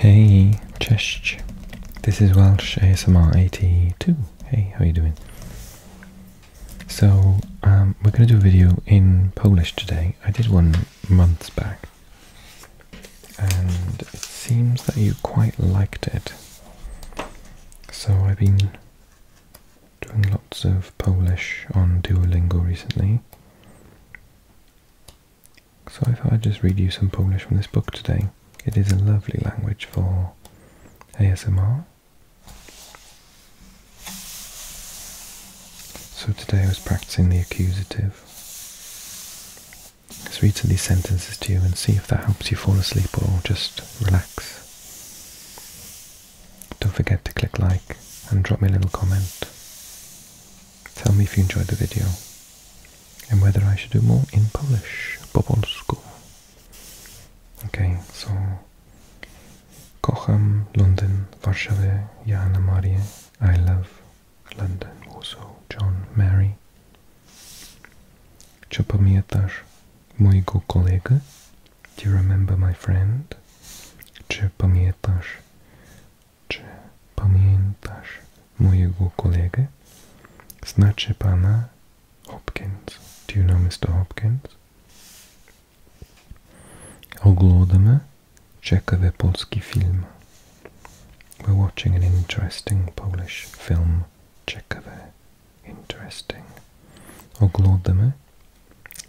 Hey, cześć. This is Welsh ASMR 82. Hey, how are you doing? So, um, we're going to do a video in Polish today. I did one months back. And it seems that you quite liked it. So I've been doing lots of Polish on Duolingo recently. So I thought I'd just read you some Polish from this book today. It is a lovely language for ASMR. So today I was practicing the accusative. Let's read some of these sentences to you and see if that helps you fall asleep or just relax. Don't forget to click like and drop me a little comment. Tell me if you enjoyed the video and whether I should do more in Polish, po polsku. Okay, so kocham London, Warszawa, Jana Maria. I love London, also John, Mary. Czy pamiętasz mojego kolegę? Do you remember my friend? Czy pamiętasz Czy pamiętasz mojego kolegę? Znaczy pana Hopkins. Do you know Mr. Hopkins? Oglądamy ciekawy polski film. We're watching an interesting Polish film. Ciekawe. Interesting. Oglądamy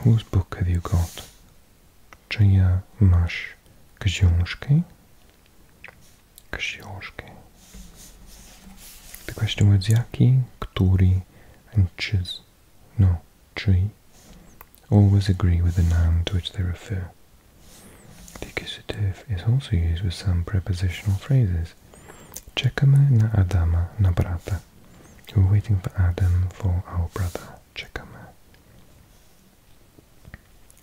Whose book have you got? Czyja masz książki? Książki. The question was jaki, który, and czyz. No, czyj. Always agree with the noun to which they refer. The accusative is also used with some prepositional phrases. Czekamy na Adama, na brata. We're waiting for Adam for our brother. czekamy.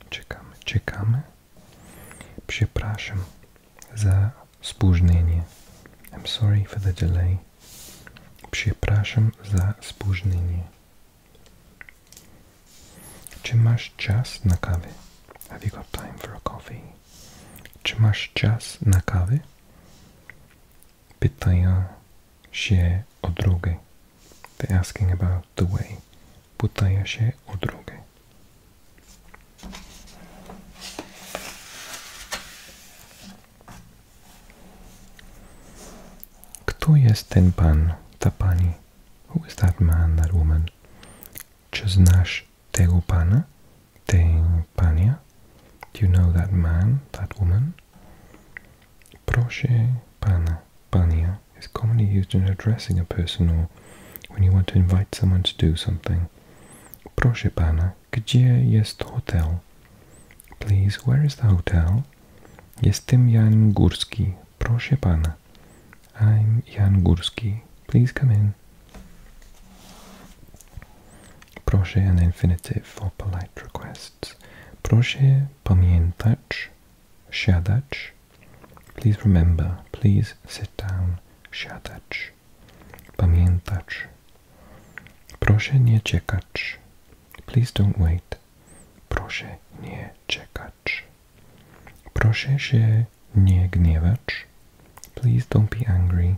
Czekamy, czekamy. Przepraszam za spóźnienie. I'm sorry for the delay. Przepraszam za spóźnienie. Czy masz czas na kawę? Have you got time for a coffee? Czy masz czas na kawę? pytają się odroge. They're asking about the way. Pytają się odroge. Kto jest ten pan, ta pani? Who is that man, that woman? Czy znasz tego pana, tej panię? Do you know that man, that woman? Proszę pana, pania is commonly used in addressing a person or when you want to invite someone to do something. Proszę pana, gdzie jest hotel? Please, where is the hotel? Jestem Jan Górski. Proszę pana. I'm Jan Gurski. Please come in. Proszę an infinitive for polite requests. Proszę pamiętać, siadać. Please remember, please sit down, siadać. Pamiętać. Proszę nie czekać. Please don't wait. Proszę nie czekać. Proszę się nie gniewać. Please don't be angry.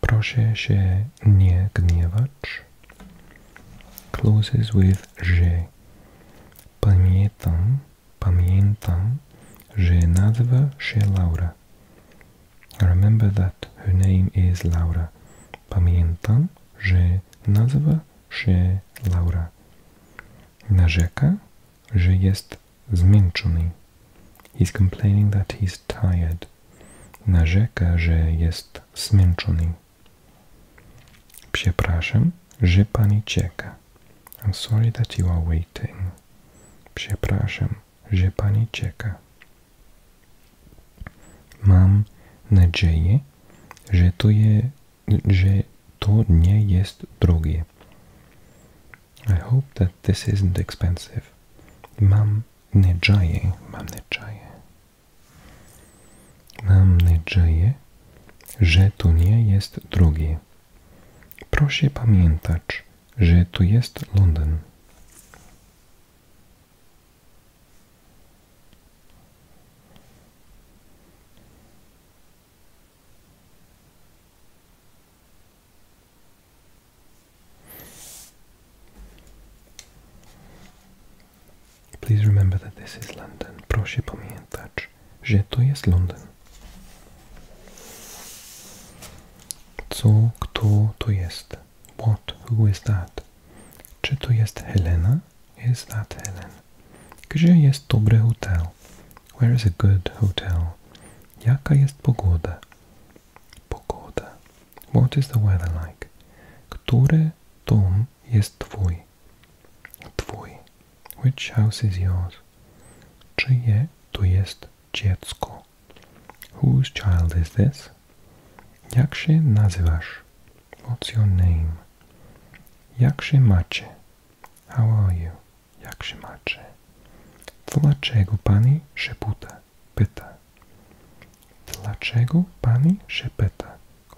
Proszę się nie gniewać. closes with że. Pamiętam, pamiętam, że nazwa się Laura. Remember that her name is Laura. Pamiętam, że nazwa się Laura. Narzeka, że jest zmęczony. He's complaining that he's is tired. Narzeka, że jest zmęczony. Przepraszam, że pani czeka. I'm sorry that you are waiting. Przepraszam, że pani czeka. Mam nadzieję, że to, je, że to nie jest drogie. I hope that this isn't expensive. Mam nadzieję, mam nadzieję. Mam nadzieję, że to nie jest drugie. Proszę pamiętać, że tu jest Londyn. Please remember that this is London. Proszę pamiętać, że to jest London. Co, kto to jest? What, who is that? Czy to jest Helena? Is that Helen? Gdzie jest dobry hotel? Where is a good hotel? Jaka jest pogoda? pogoda? What is the weather like? Który dom jest twój? Twój. Which house is yours? Czyje to jest dziecko? Whose child is this? Jak się nazywasz? What's your name? Jak się macie? How are you? Jak się macie? Dlaczego pani szeputa?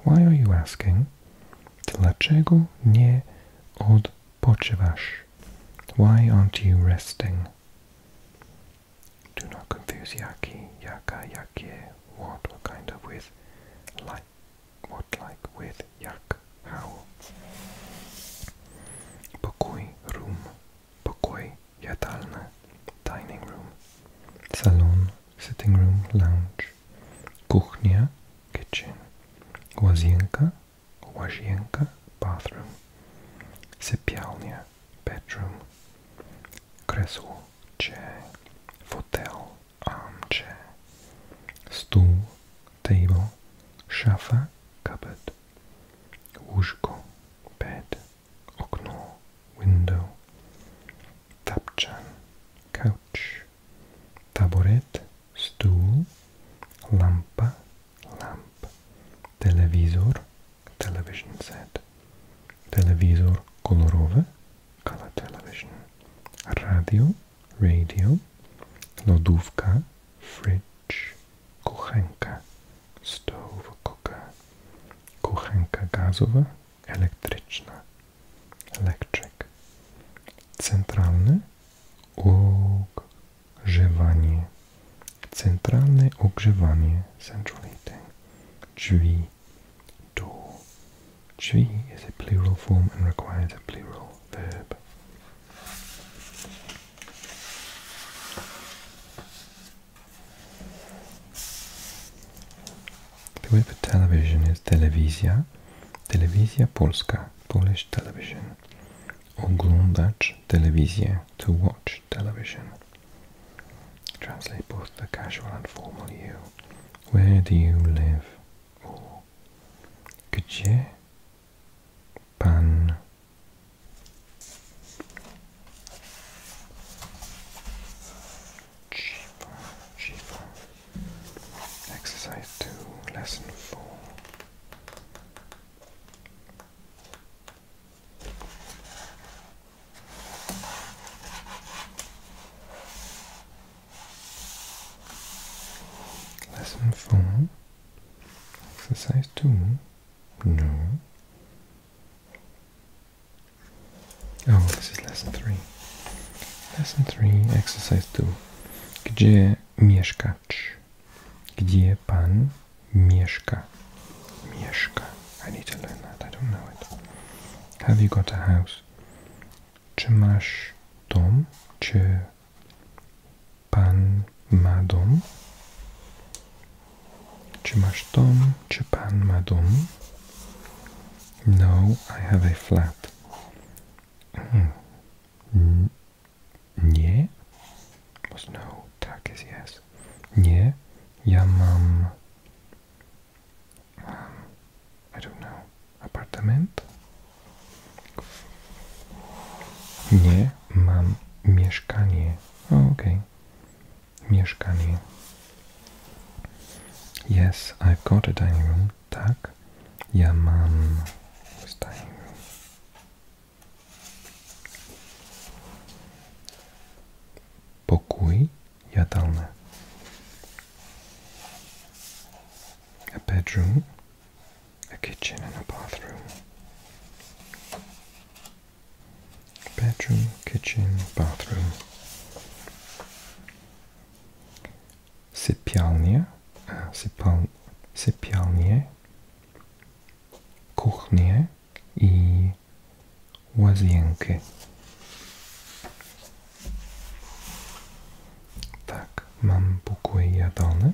Why are you asking? Why aren't you resting? Do not confuse yaki, yaka, yakie, what, what kind of with, like, what like with, yak, how. Pokoi, room, pokoi, jadalne, dining room, salon, sitting room, lounge, kuchnia, kitchen, łazienka, łazienka, bathroom, sypialnia, bedroom, kresło, chair, fotel, armchair, stół, table, szafa, cupboard, łóżko, bed, okno, window, tapczan, couch, taboret, stool, lampa, lamp, telewizor, television set, telewizor kolorowe, color television, radio, radio, lodówka, fridge, kuchenka, stove cooker, kuchenka gazowa, elektryczna, electric, centralne ogrzewanie, centralne ogrzewanie, central heating, drzwi, door, drzwi is a plural form and requires a plural verb. The word for television is telewizja, telewizja polska, Polish television. Oglądać telewizję, to watch television. Translate both the casual and formal you. Where do you live? gdzie pan cheaper, cheaper. Exercise 2, lesson 4. Lesson 4, exercise 2, no. Oh, this is lesson 3. Lesson 3, exercise 2. Gdzie mieszkasz? Gdzie pan mieszka? Mieszka. I need to learn that, I don't know it. Have you got a house? Czy masz dom? Czy pan ma dom? Czy Chapan Madum No, I have a flat. Mm. Nie? Was no, tak is yes. Nie, ja mam... Um, I don't know. Apartment Nie, mam mieszkanie. Oh, okay. mieszkanie. Yes, I've got a dining room. Tak, ja mam dining room. Pokój jadalny. A bedroom, a kitchen and a bathroom. Bedroom, kitchen, bathroom. Sypialnie, sypal, sypialnie, kuchnie i łazienki. Tak, mam pokój jadalny,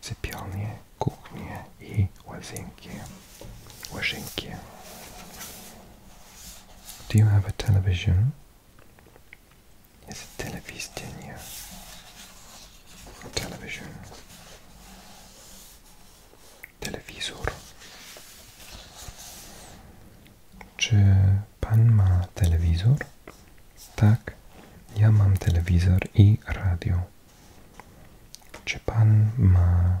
sypialnie, kuchnię i łazienki łazienki. Do you have a television? Jest telewizja, Telewizja. Telewizor. Czy pan ma telewizor? Tak, ja mam telewizor i radio. Czy pan ma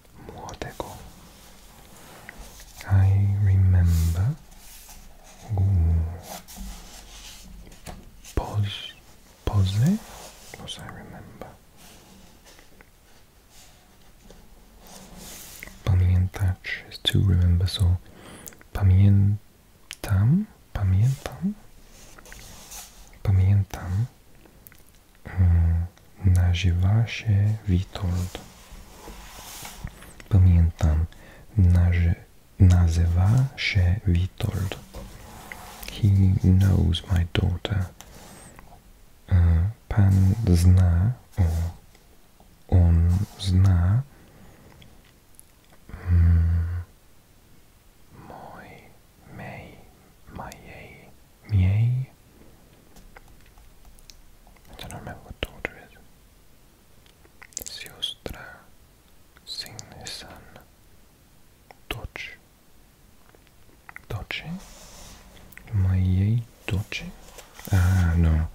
more decor. I remember ooh, Pos Posne was I remember. Pamiętać is to remember, so pamiętam, pamiętam, pamiętam Hmm, nazywa się Witold. Pamiętam, nazy nazywa się Witold. He knows my daughter. Hmm, pan zna, o, on zna mm, moj, mojej Miei. I don't remember what daughter it is. Siostra, Signisan, Doce. Doce? Моей дочери? А, но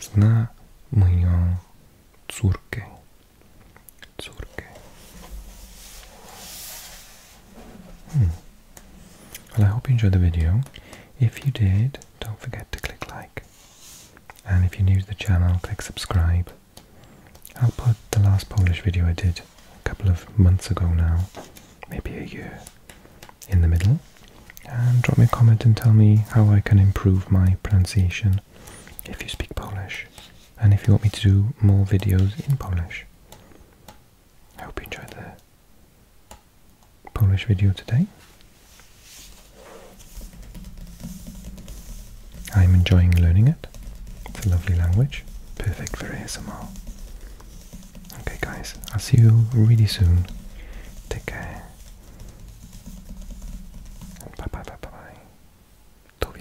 сна моей цуркой. Цуркой. Well, I hope you enjoyed the video. If you did, don't forget to click like. And if you're new to the channel, click subscribe. I'll put the last Polish video I did a couple of months ago now, maybe a year, in the middle. And drop me a comment and tell me how I can improve my pronunciation if you speak Polish. And if you want me to do more videos in Polish. I hope you enjoyed the Polish video today. I'm enjoying learning it. It's a lovely language, perfect for ASMR. Okay guys, I'll see you really soon. Take care. Bye bye bye bye bye. Do